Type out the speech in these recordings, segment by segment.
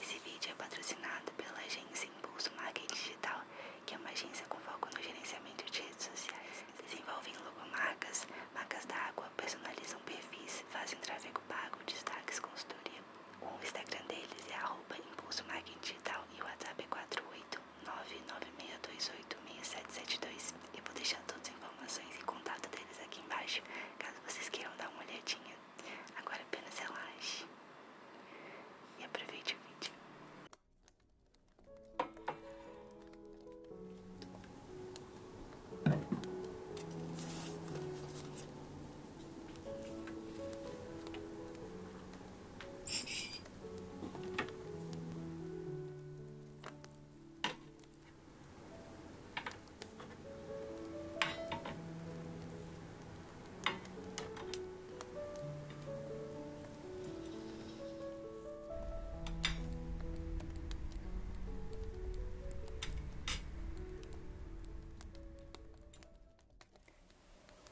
Esse vídeo é patrocinado pela agência Impulso Marketing Digital, que é uma agência com foco no gerenciamento de redes sociais. Desenvolvem logomarcas, marcas d'água, personalizam perfis, fazem tráfego pago, destaques, consultoria. O Instagram deles é arroba Impulso Marketing Digital e o WhatsApp é 48996286772. Eu vou deixar todas as informações e contato deles aqui embaixo, caso vocês queiram dar uma olhadinha. Agora apenas relaxe e aproveite o vídeo.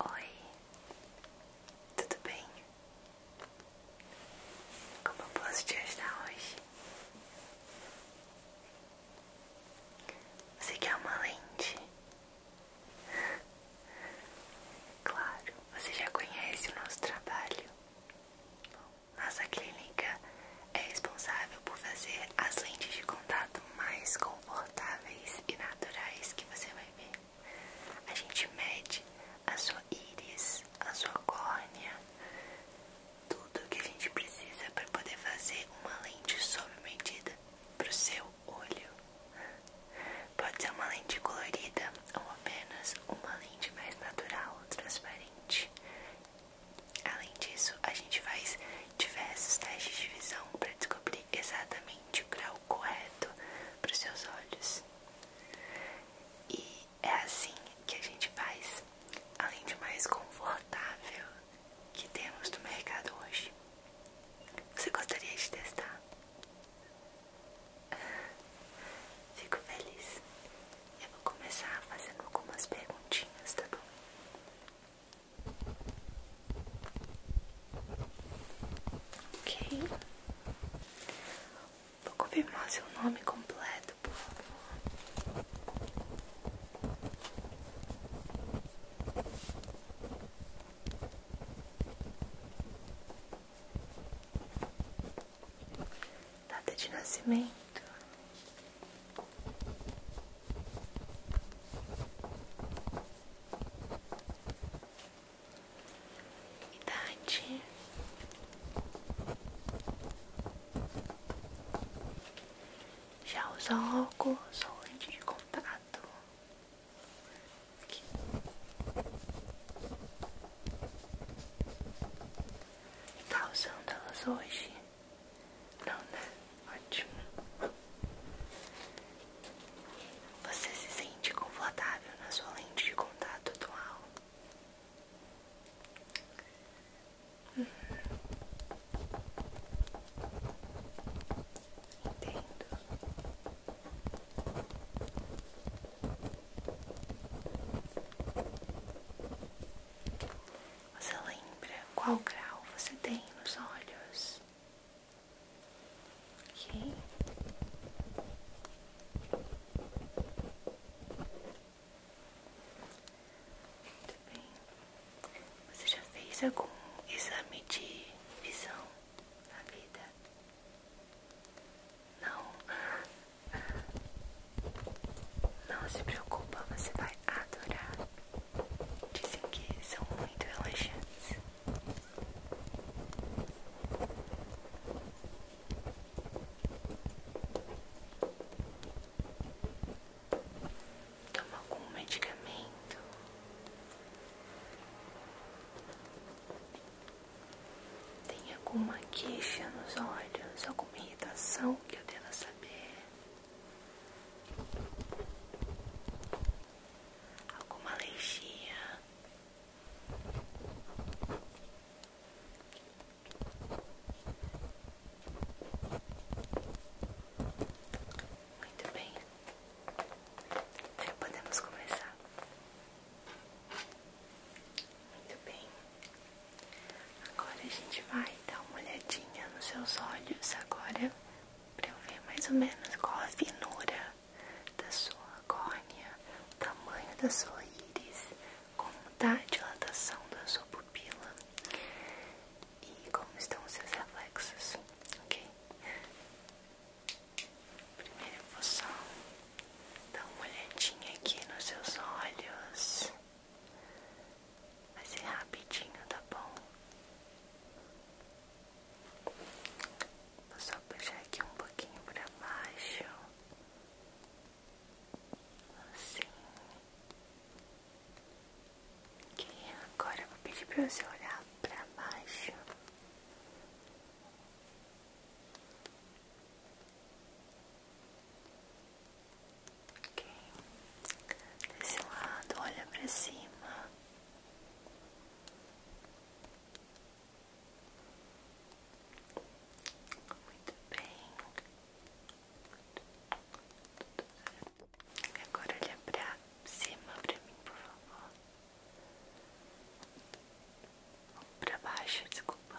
Oi, tudo bem? Como posso te ajudar hoje? Você quer uma lente? Claro, você já conhece o nosso trabalho. nossa clínica é responsável por fazer as lentes de contato mais confortáveis e naturais que você vai ver. A gente mede a sua íris, a sua córnea, tudo o que a gente precisa para poder fazer uma lente sob medida para o seu olho. Pode ser uma lente colorida ou apenas uma lente mais natural, transparente. Além disso, a gente faz diversos testes de visão para descobrir exatamente o grau correto para os seus olhos. E é assim que a gente faz, além de mais confortável, que temos no mercado hoje. Você gostaria de testar? Ah, fico feliz. Eu vou começar fazendo algumas perguntinhas, tá bom? Ok. Vou confirmar seu nome completo obrigado, povo. Data de nascimento. Idade. Já usou óculos ou lente de contato. Aqui. Tá usando elas hoje? Não, né? Ótimo. Você se sente confortável na sua lente de contato atual? Entendo. Você lembra qual grau você tem nos olhos? Muito bem. Você já fez algum exame de visão na vida? Não. Não se preocupa, você vai adorar. Dizem que são muito relaxantes. Toma algum medicamento? Tem alguma queixa nos olhos? Alguma irritação que eu deva saber? Alguma alergia? Muito bem, já podemos começar. Muito bem, agora a gente vai dar uma olhadinha nos seus olhos agora para eu ver mais ou menos qual a finura da sua córnea, o tamanho da sua íris, como tá a dilatação da sua pupila e como estão os seus reflexos, ok? Primeiro eu vou só dar uma olhadinha aqui nos seus olhos. Vai ser rapidinho, tá bom? Vou só puxar aqui um pouquinho pra baixo. Assim agora vou pedir para você olhar para baixo. Ok, desse lado, olha para cima. Muito bem. Agora olha pra cima pra mim, por favor. Ou pra baixo, desculpa.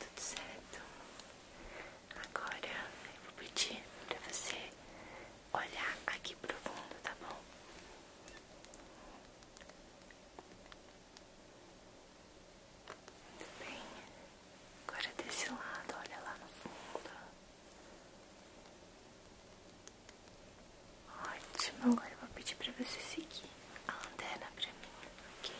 Tudo certo. Agora eu vou pedir pra você olhar aqui pro fundo, tá bom? Muito bem. Agora desse lado, olha lá no fundo. Ótimo. Agora eu vou pedir para você seguir a lanterna para mim, ok?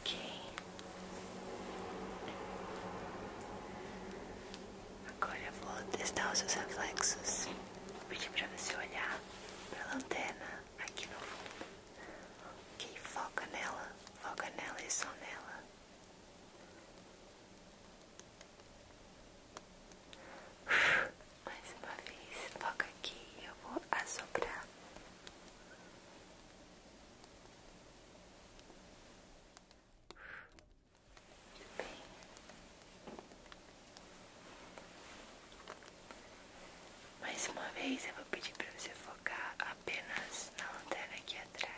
Ok. Agora eu vou testar os seus reflexos. Vou para você olhar para a lanterna aqui no fundo. Que foca nela, foca nela e só nela. Mais uma vez, foca aqui e eu vou assoprar. Muito bem. Mais uma vez eu vou pedir para você focar apenas na lanterna aqui atrás.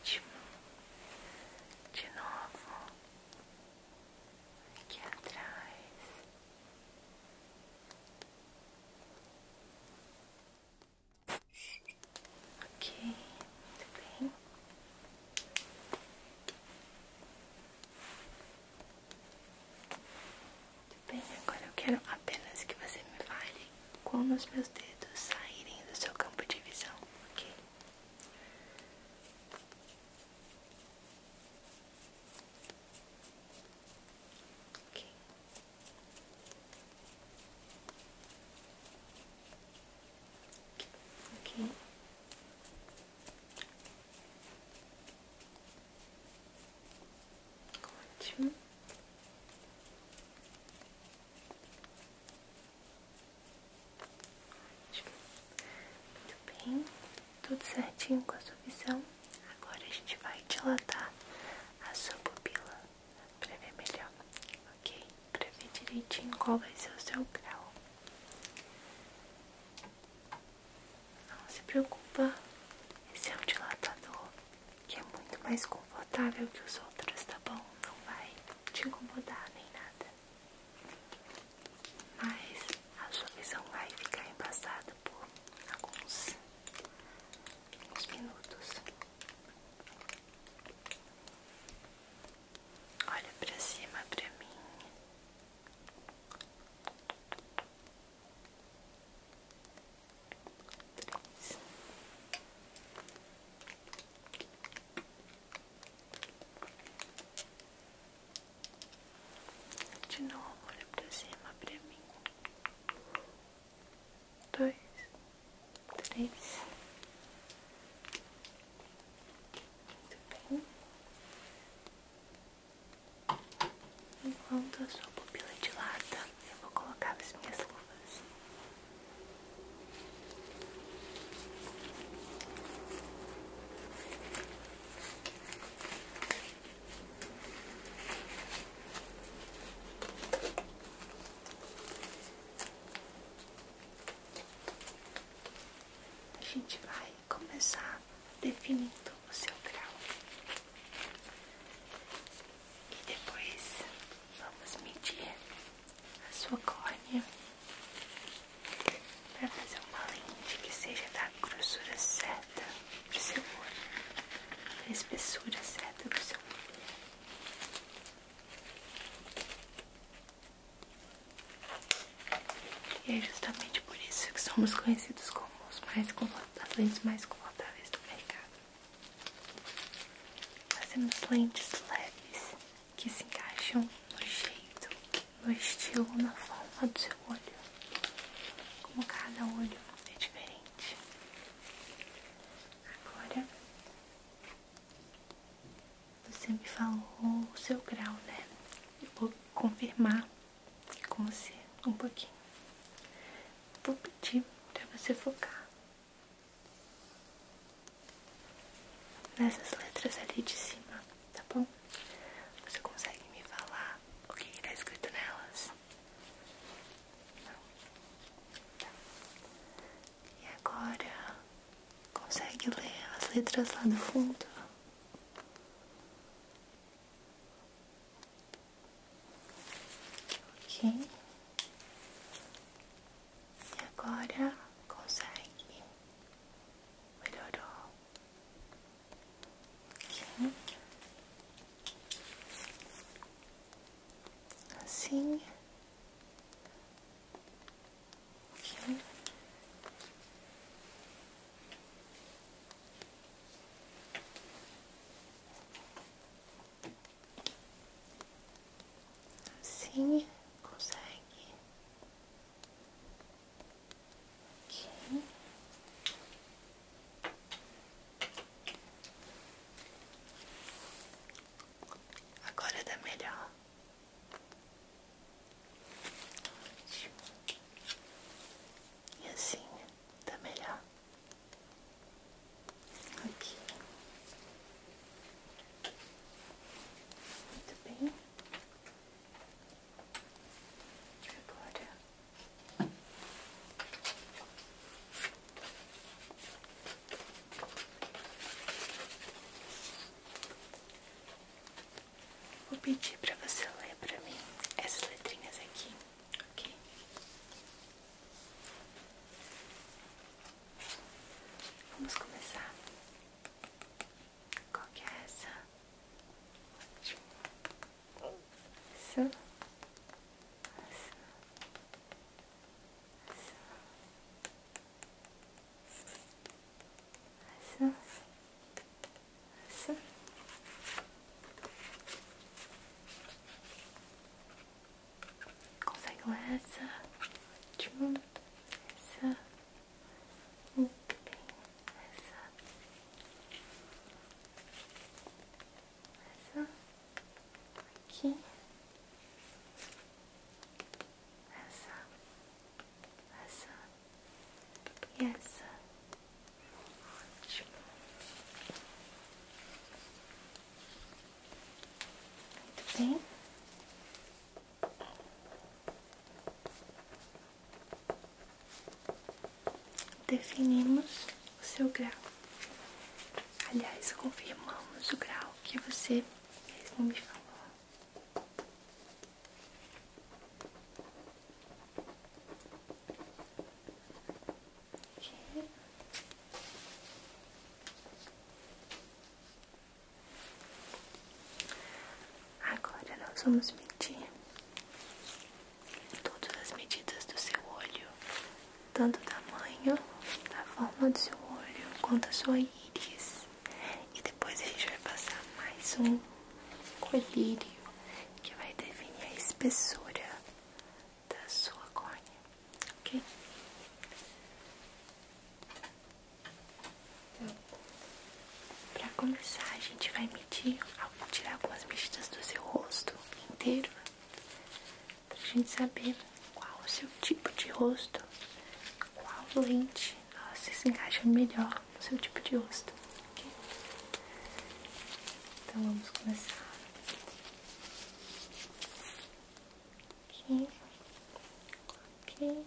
Ótimo. De novo. Aqui atrás. Ok, muito bem. Muito bem, agora eu quero apenas que você me fale quando os meus dedos saírem do seu campo de visão, ok? Okay. Okay. Ótimo. Ótimo. Muito bem, tudo certinho com a sua visão. Então, agora a gente vai dilatar a sua pupila para ver melhor, ok? Para ver direitinho qual vai ser o seu grau. Não se preocupa, esse é um dilatador que é muito mais confortável que os outros, tá bom? Não vai te incomodar nem nada. Mas a sua visão vai ficar embaçada por alguns uns minutos. Olha pra cima pra mim. De novo, olha pra cima pra mim dois, três. Muito bem. Enquanto a sua pupila dilata, eu vou colocar as minhas luvas. A gente vai começar definindo o seu grau e depois vamos medir a sua córnea para fazer uma lente que seja da grossura certa de cebola na espessura certa do seu olho E é justamente por isso que somos conhecidos como os mais as lentes mais confortáveis do mercado. Fazemos lentes leves que se encaixam no jeito, no estilo, na forma do seu olho, como cada olho é diferente. Agora, você me falou o seu grau, né? Eu vou confirmar com você um pouquinho. Vou pedir para você focar nessas letras ali de cima, tá bom? Você consegue me falar o que está escrito nelas? E agora consegue ler as letras lá no fundo? Ok. E agora consegue. Melhorou. Aqui. Assim. Aqui. Assim. assim consegue. Agora dá melhor. E assim tá melhor. Aqui. Muito bem. Agora Vou pedir para você ler para mim essas letrinhas aqui, ok? Vamos começar. Qual que é essa? Su. Su. Su. Su. Su. Consegue ler essa? Ótimo. Essa. Essa aqui, essa, essa e essa. Ótimo. Muito bem definimos o seu grau. Aliás, confirmamos o grau que você mesmo me falou. Agora nós vamos medir todas as medidas do seu olho, tanto o tamanho, da forma do seu olho, quanto a sua íris. E depois a gente vai passar mais um colírio que vai definir a espessura da sua córnea, ok? Então, para começar, a gente vai medir, tirar algumas medidas do seu rosto rosto inteiro pra gente saber qual o seu tipo de rosto, qual lente nossa, se encaixa melhor no seu tipo de rosto. Então vamos começar. Aqui, aqui.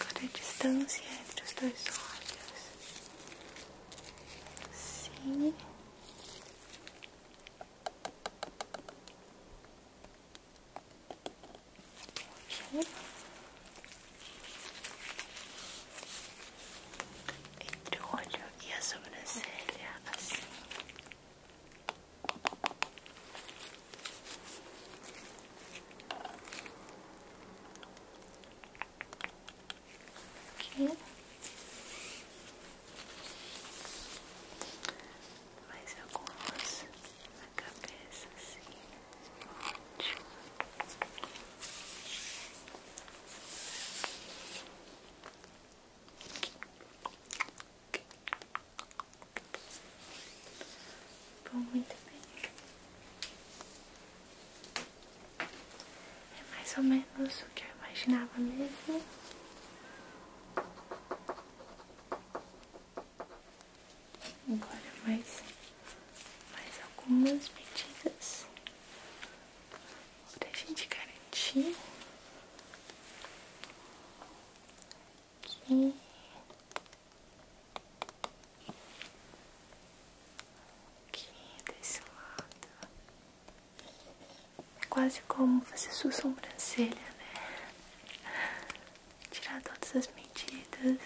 Agora distância entre os dois olhos. Sim. Entre o olho e a sobrancelha, assim. Aqui. Mais algumas na cabeça, assim. Ótimo. Bom, muito bem. É mais ou menos o que eu imaginava mesmo. Agora mais, mais algumas medidas pra gente garantir que Aqui desse lado. É quase como fazer sua sobrancelha, né? Tirar todas as medidas.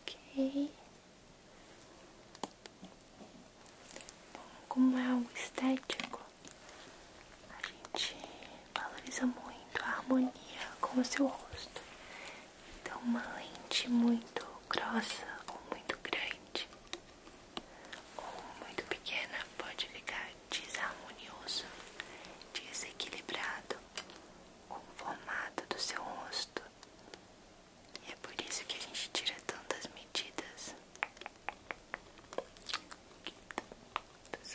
Ok. Bom, como é algo estético, a gente valoriza muito a harmonia com o seu rosto. Então, uma lente muito grossa ou muito grande ou muito pequena pode ficar desarmonioso, desequilibrado com o formato do seu rosto. E é por isso que a gente tira tantas medidas. Dos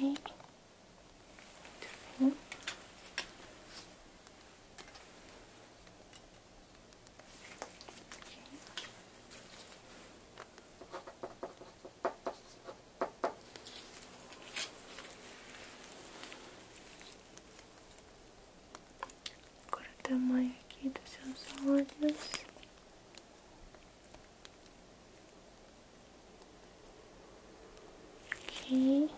Ok. Muito bem. Agora o tamanho aqui dos seus olhos. Aqui.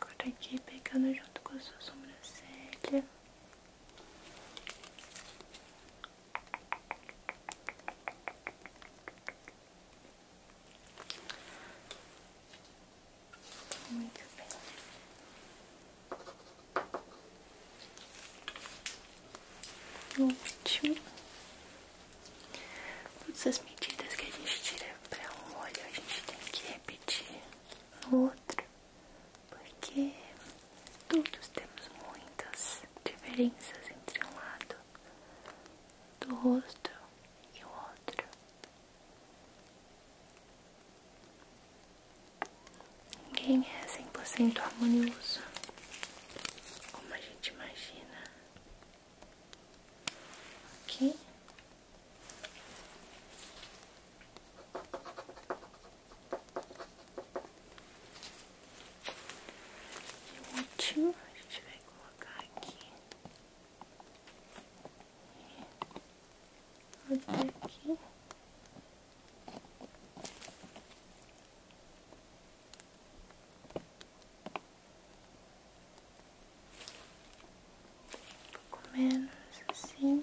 Agora aqui pegando junto com a sua sobrancelha. Muito bem. último, todas as medidas que a gente tira para um olho, a gente tem que repetir no outro porque todos temos muitas diferenças entre um lado do rosto e o outro. Ninguém é 100% harmonioso, como a gente imagina. Aqui e o último a gente vai colocar aqui. Até aqui. Um pouco menos assim.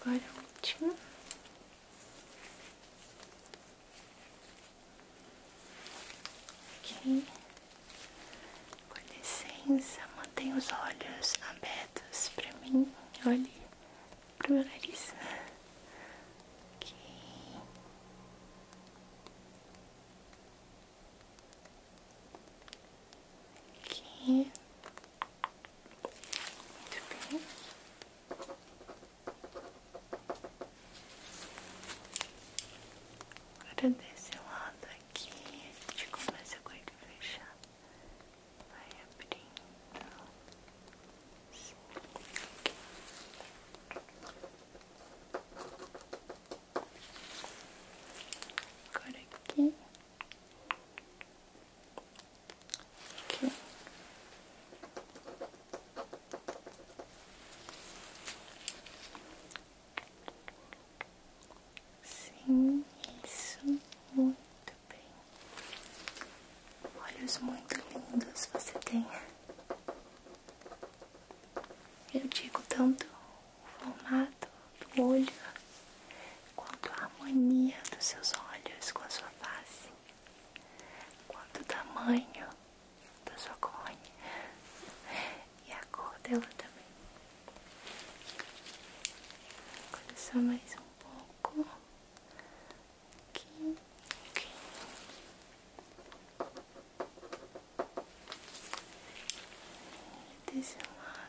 Agora é o último. Ok. Com licença, mantenha os olhos abertos para mim. Olhe pro meu nariz. Ok. Aqui. Muito bem. Agora desse lado aqui, a gente começa com ele fechar. Vai abrindo. Agora aqui. Sim, isso muito bem. Olhos muito lindos você tem. Eu digo tanto o formato do olho, quanto a harmonia dos seus olhos com a sua face, quanto o tamanho da sua córnea e a cor dela também. Agora é só mais um pouco. Aqui, aqui. E desse lado.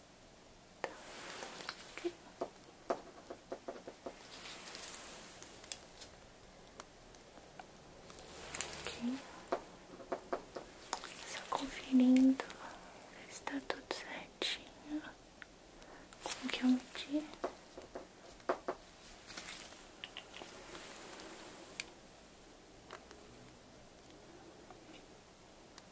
Aqui. Só conferindo está tudo certinho. Como que eu medi?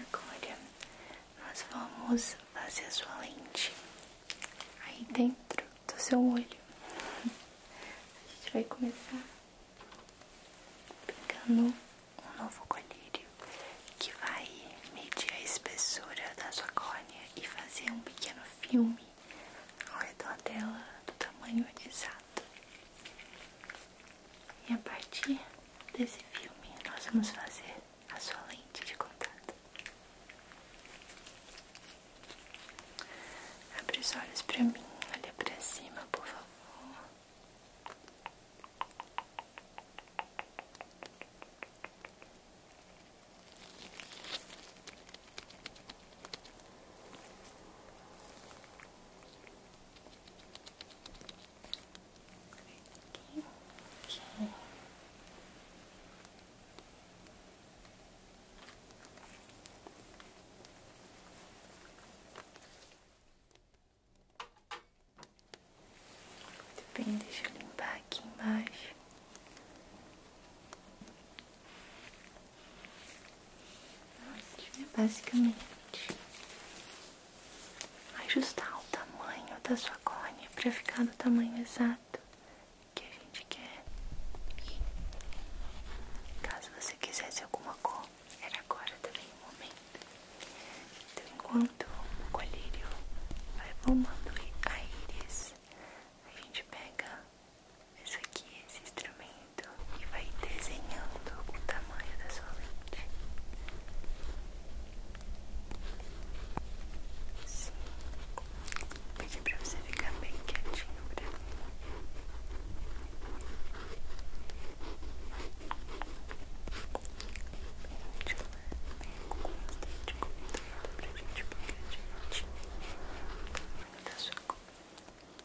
Agora nós vamos fazer a sua lente aí dentro do seu olho. A gente vai começar pegando um novo colírio que vai medir a espessura da sua córnea e fazer um pequeno filme ao redor dela do tamanho exato. E a partir desse filme nós vamos fazer a sua lente de contato. Abre os olhos para mim, olha para cima, por favor. Okay. Muito bem, deixa eu limpar aqui embaixo basicamente ajustar o tamanho da sua córnea para ficar do tamanho exato que a gente quer. caso você quisesse alguma cor, era agora também o momento. Então, enquanto o colírio vai formando a íris, a gente pega isso aqui, esse instrumento, e vai desenhando o tamanho da sua lente. assim Pedi pra você ficar bem quietinho pra mim. Bem de lado, bem constante, convidando pra gente, porque a gente da sua cor.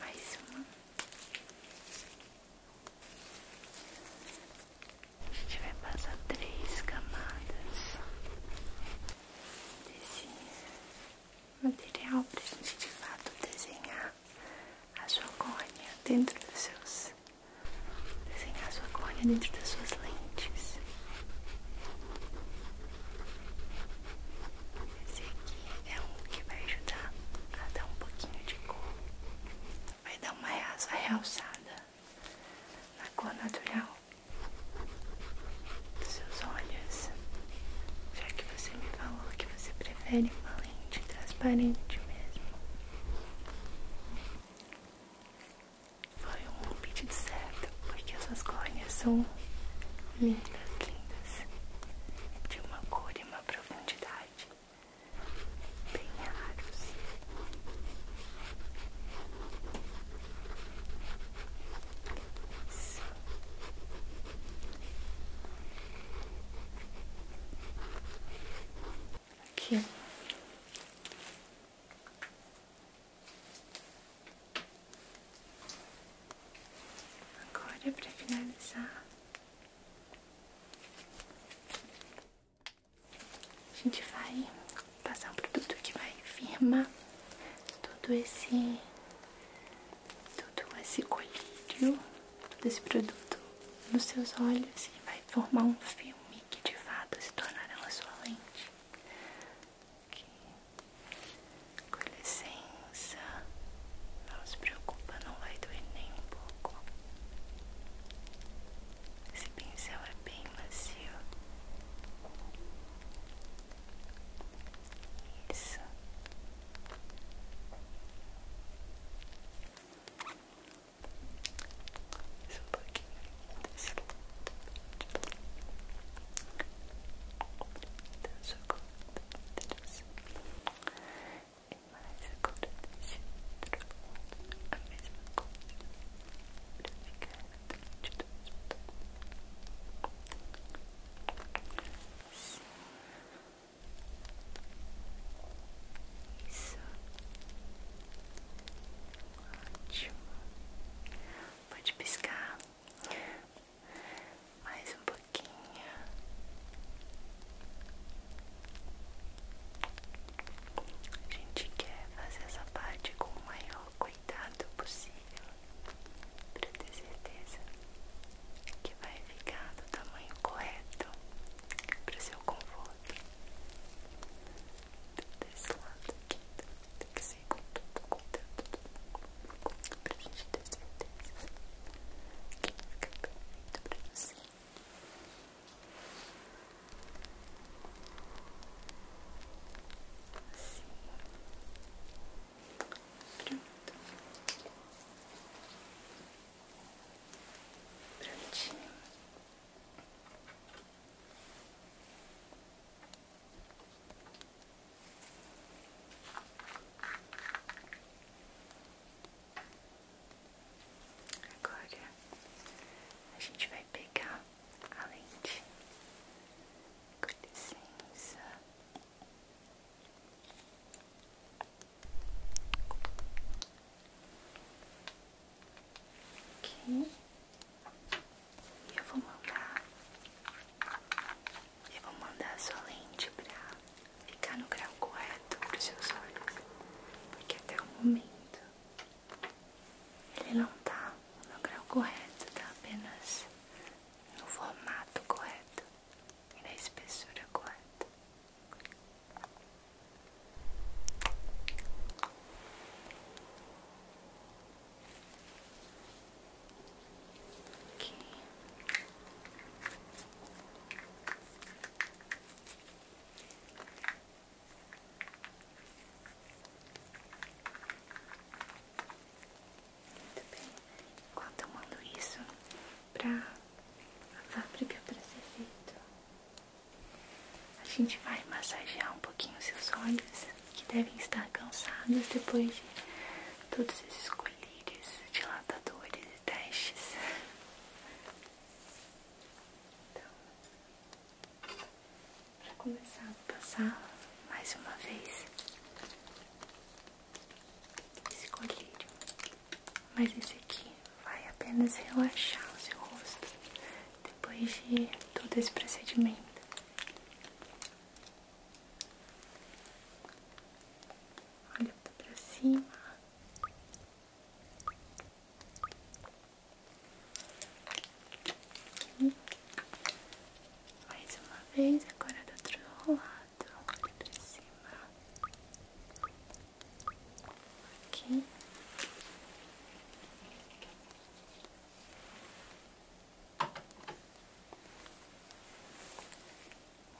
Mais uma. A gente vai passar três camadas desse material para a gente de fato desenhar a sua córnea dentro dos seus. desenhar a sua córnea dentro das suas lentes. Esse aqui é um que vai ajudar a dar um pouquinho de cor, vai dar uma realça realçada na cor natural dos seus olhos, já que você me falou que você prefere uma lente transparente mesmo. Foi um pedido certo, porque essas córneas são lindas, lindas, de uma cor e uma profundidade bem raros. Isso. Aqui. Agora é para finalizar, a gente vai passar um produto que vai firmar todo esse tudo esse colírio, todo esse produto nos seus olhos e vai formar um filme que de fato se tornará uma sua lente. Com licença, não se preocupa, não vai doer nem um pouco. Esse pincel é bem macio. Isso. que Isso um pouquinho desse lado. que agora e mais agora desse outro lado. A mesma coisa. Pra ficar atrás de dois botões. Isso. Isso. Ótimo. Pode piscar. Mais um pouquinho. A gente quer fazer essa parte com o maior cuidado possível para ter certeza que vai ficar do tamanho correto para o seu conforto. Desse lado aqui, tem que ser com tudo, com tudo, pra gente ter certeza que fica perfeito pra você. Assim. Prontinho. Agora a gente vai pegar a lente. Com licença. E eu vou mandar. Eu vou mandar a sua lente pra ficar no grau correto pros seus olhos. Porque até o momento ele não tá no grau correto, tá apenas no formato correto e na espessura correta. Muito bem. Enquanto eu mando isso pra a fábrica para ser feito, a gente vai massagear um pouquinho os seus olhos que devem estar cansados depois de todos esses colírios, dilatadores e testes. Então, para começar a passar mais uma vez esse mas esse aqui vai apenas relaxar o seu rosto depois de todo esse procedimento. Olha para cima. Mais uma vez, agora do outro lado, pra cima. Aqui.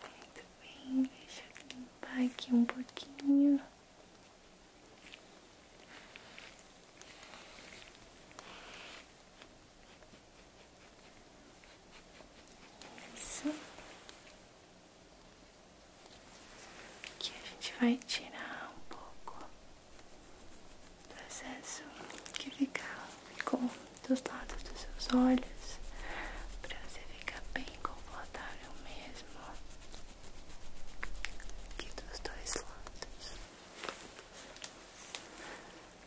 Muito bem, deixa limpar aqui um pouquinho. Isso. Que a gente vai tirar um pouco do excesso que fica, ficou dos lados dos seus olhos, pra você ficar bem confortável mesmo. Aqui dos dois lados.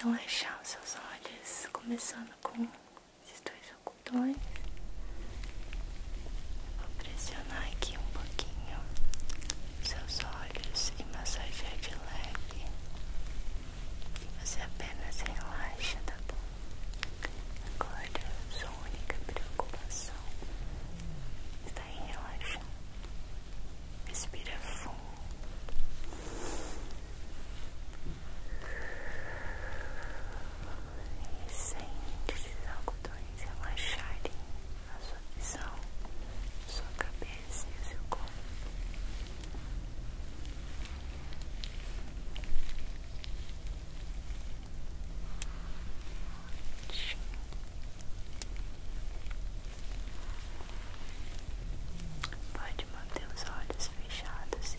Relaxar os seus olhos, começando com esses dois ocultões. Vou pressionar aqui um pouquinho seus olhos e massagear de leve. você apenas relaxa, tá bom? Agora, sua única preocupação está em relaxar. Respira fundo. E sente esses algodões relaxarem a sua visão, sua cabeça e seu corpo. Pode manter os olhos fechados se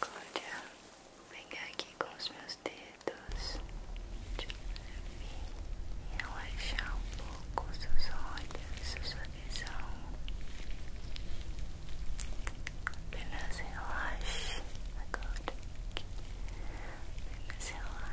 Agora, vou pegar aqui com os meus dedos e relaxar um pouco os seus olhos, a sua visão. Apenas relaxe agora. Apenas relaxe.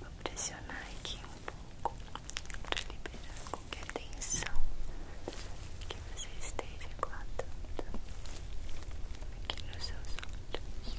Vou pressionar aqui um pouco para liberar qualquer tensão que você esteja guardando aqui nos seus olhos.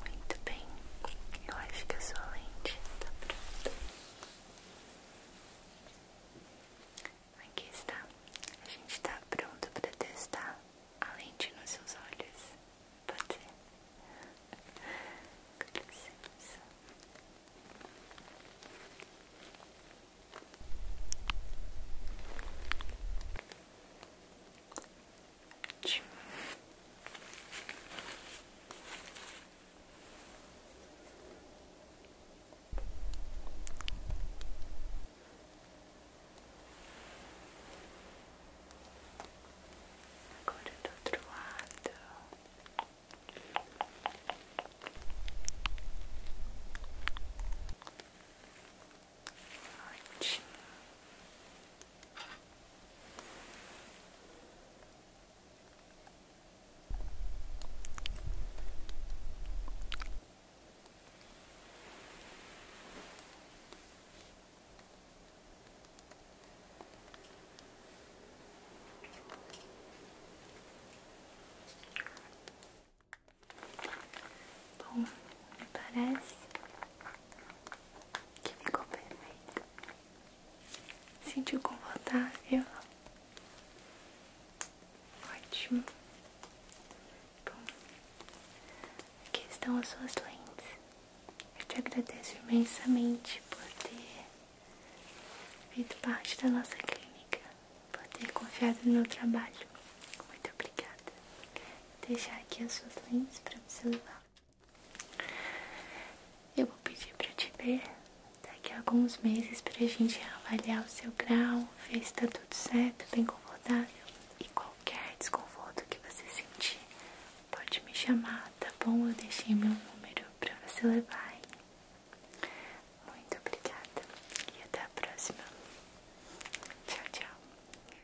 Muito bem, eu acho que a sua lente tá pronta. Aqui está, a gente tá pronto para testar a lente nos seus olhos. Pode ser? Com licença frente. Agora do outro lado. Bom, parece que ficou perfeito. Sentiu confortável? Ótimo. Bom, aqui estão as suas lentes. Eu te agradeço imensamente por ter feito parte da nossa clínica, por ter confiado no meu trabalho. Muito obrigada. Vou deixar aqui as suas lentes para você levar. Eu vou pedir para te ver daqui a alguns meses para a gente avaliar o seu grau, ver se tá tudo certo, bem tá confortável. E qualquer desconforto que você sentir, pode me chamar, tá bom? Eu deixei meu número para você levar. Muito obrigada e até a próxima. Tchau, tchau.